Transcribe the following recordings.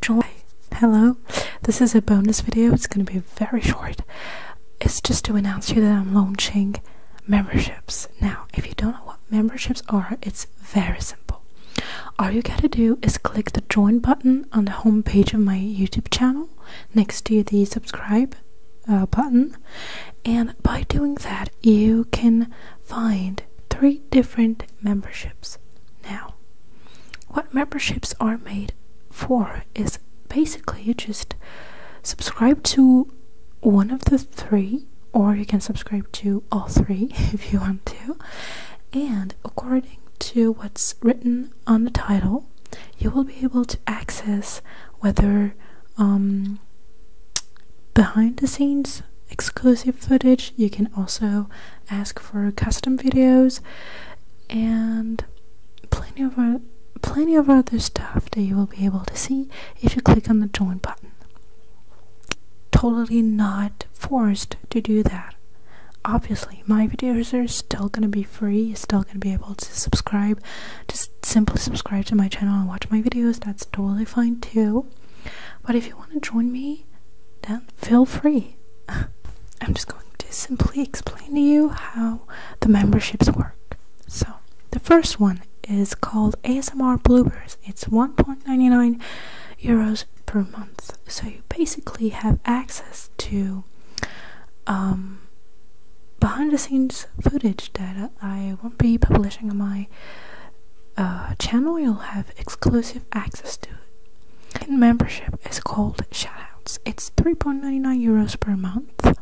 Joy. Hello. This is a bonus video. It's going to be very short. It's just to announce you that I'm launching memberships. Now, if you don't know what memberships are, it's very simple. All you gotta do is click the join button on the home page of my YouTube channel next to the subscribe uh, button, and by doing that, you can find three different memberships. Now, what memberships are made for is basically you just subscribe to one of the three, or you can subscribe to all three if you want to, and according to what's written on the title, you will be able to access whether um, behind the scenes exclusive footage. You can also ask for custom videos and plenty of other, plenty of other stuff that you will be able to see if you click on the join button. Totally not forced to do that. Obviously, my videos are still gonna be free. You're still gonna be able to subscribe. Just simply subscribe to my channel and watch my videos. That's totally fine too. But if you want to join me then feel free. I'm just going to simply explain to you how the memberships work. So, the first one is called ASMR Bloopers. It's 1.99 euros per month. So, you basically have access to um, behind the scenes footage that I won't be publishing on my a uh, channel, you'll have exclusive access to it. And membership is called Shoutouts. It's 3.99 euros per month.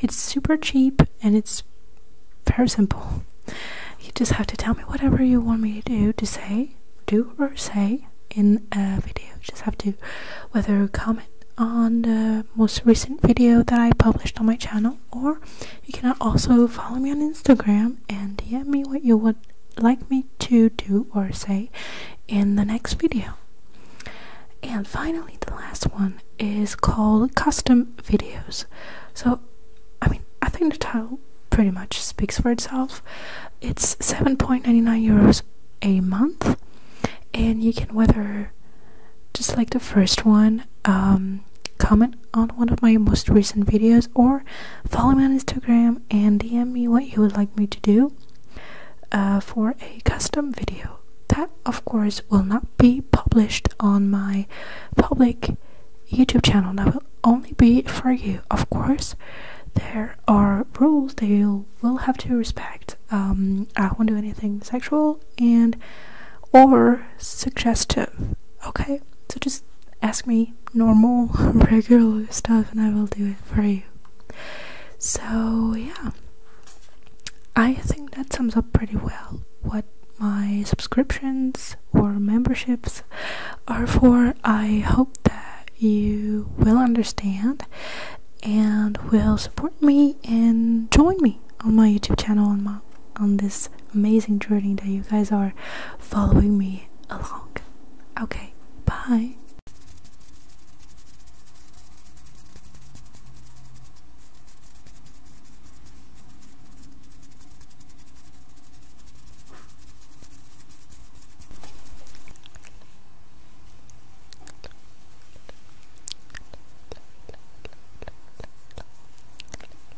It's super cheap and it's very simple. You just have to tell me whatever you want me to do, to say, do or say in a video. just have to whether comment on the most recent video that I published on my channel, or you can also follow me on Instagram and DM me what you would like me to do or say in the next video. And finally, the last one is called custom videos. So, I mean, I think the title pretty much speaks for itself. It's 7.99 euros a month, and you can whether just like the first one, um, comment on one of my most recent videos or follow me on Instagram and DM me what you would like me to do uh, for a custom video. That, of course, will not be published on my public YouTube channel. That will only be for you, of course. There are rules that you will have to respect. Um, I won't do anything sexual and or suggestive. Okay. So just ask me normal, regular stuff, and I will do it for you. So, yeah, I think that sums up pretty well what my subscriptions or memberships are for. I hope that you will understand and will support me and join me on my YouTube channel and my on this amazing journey that you guys are following me along. Okay, bye.